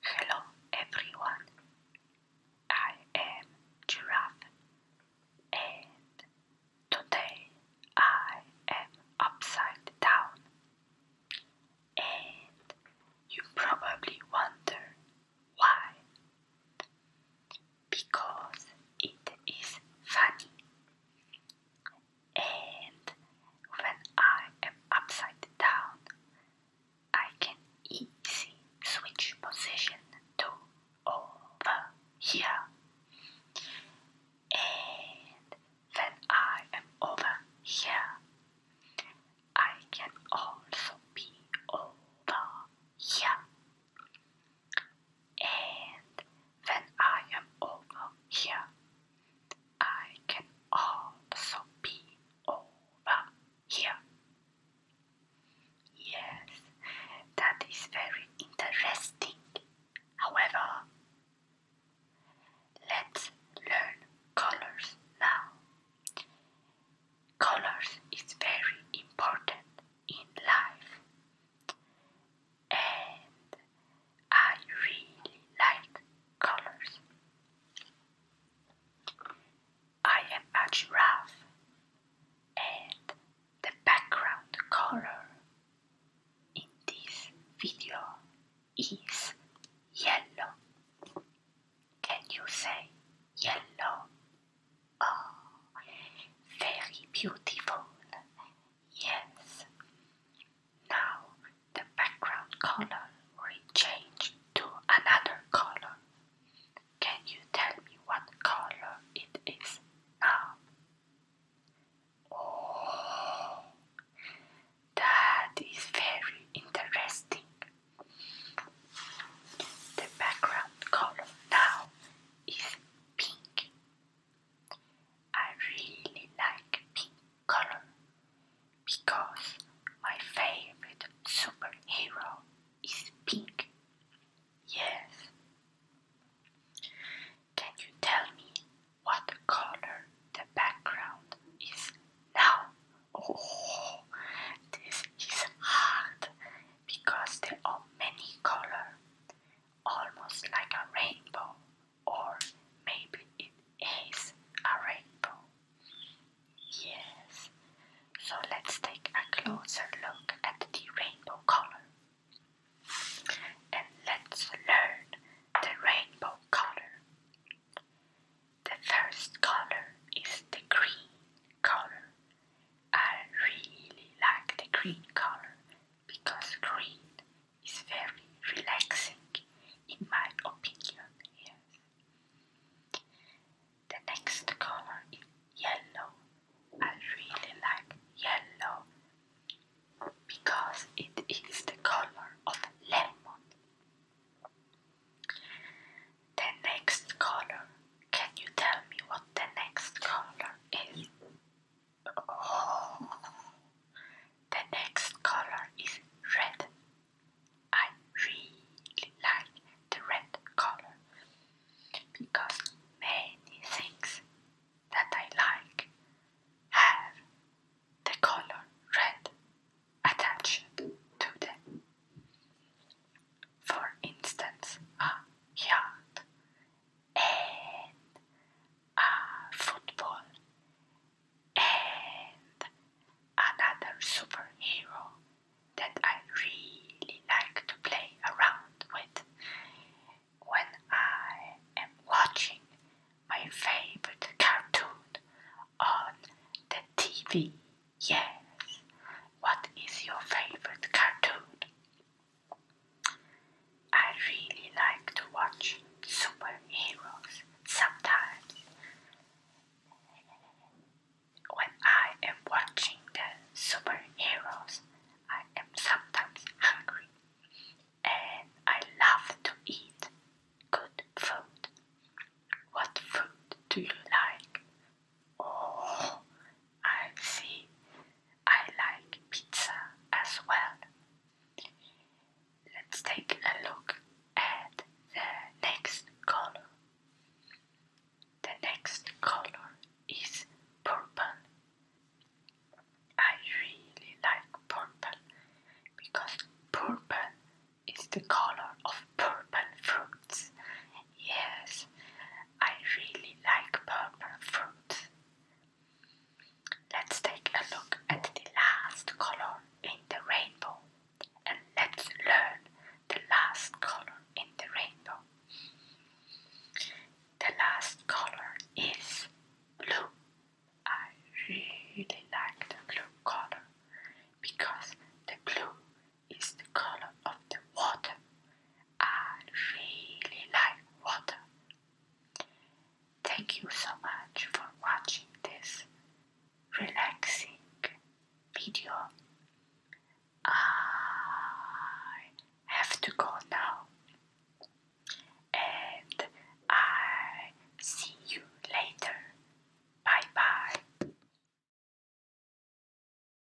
Hello everyone, I am Giraffe and today I am upside down. And you probably wonder why. Because it is funny. And when I am upside down, I can easy switch position to over here. And when I am over here, I can also be over here. And when I am over here, I can also be over here. Yes, that is very interesting. However, let's learn colors now. Colors is very important in life, and I really like colors. I am a giraffe, and the background color in this video is yellow. Can you say yellow? Oh, very beautiful. Yes, now the background color will change to another color. Can you tell me what color it is now? Oh, that is very interesting. The background color now is pink. I really like pink color because my favorite superhero is pink. Yes. Can you tell me what color the background is now? Oh, this is hard because there are many colors, almost like a rainbow. Or maybe it is a rainbow. Yes. So let's take a closer look at the rainbow color. And let's learn the rainbow color. The first color is the green color. I really like the green color because green is very relaxing, in my opinion. Yes. The next color is yellow. I really like yellow because it is the color of lemon. The next color, can you tell me what the next color is? The next color is red. I really like the red color because many things that I like have the color red attached to them. For instance, a yacht and uh, football and another superhero that I really like to play around with when I am watching my favorite cartoon on the TV. Yes, what is your favorite cartoon? I really like to watch superheroes sometimes. When I am watching the superheroes, I am sometimes hungry and I love to eat good food. What food do you like? Oh, I see. I like pizza as well. Let's take a look at the next color. The next color is purple. I really like purple because purple is the color of purple fruits. Yes, I really like purple fruit. Let's take a look at the last color in the rainbow and let's learn the last color in the rainbow. The last color is blue. I really like the blue color because the blue is the color of the water I really like water. Thank you so much for watching this relaxing video. I have to go now, and I see you later. Bye bye.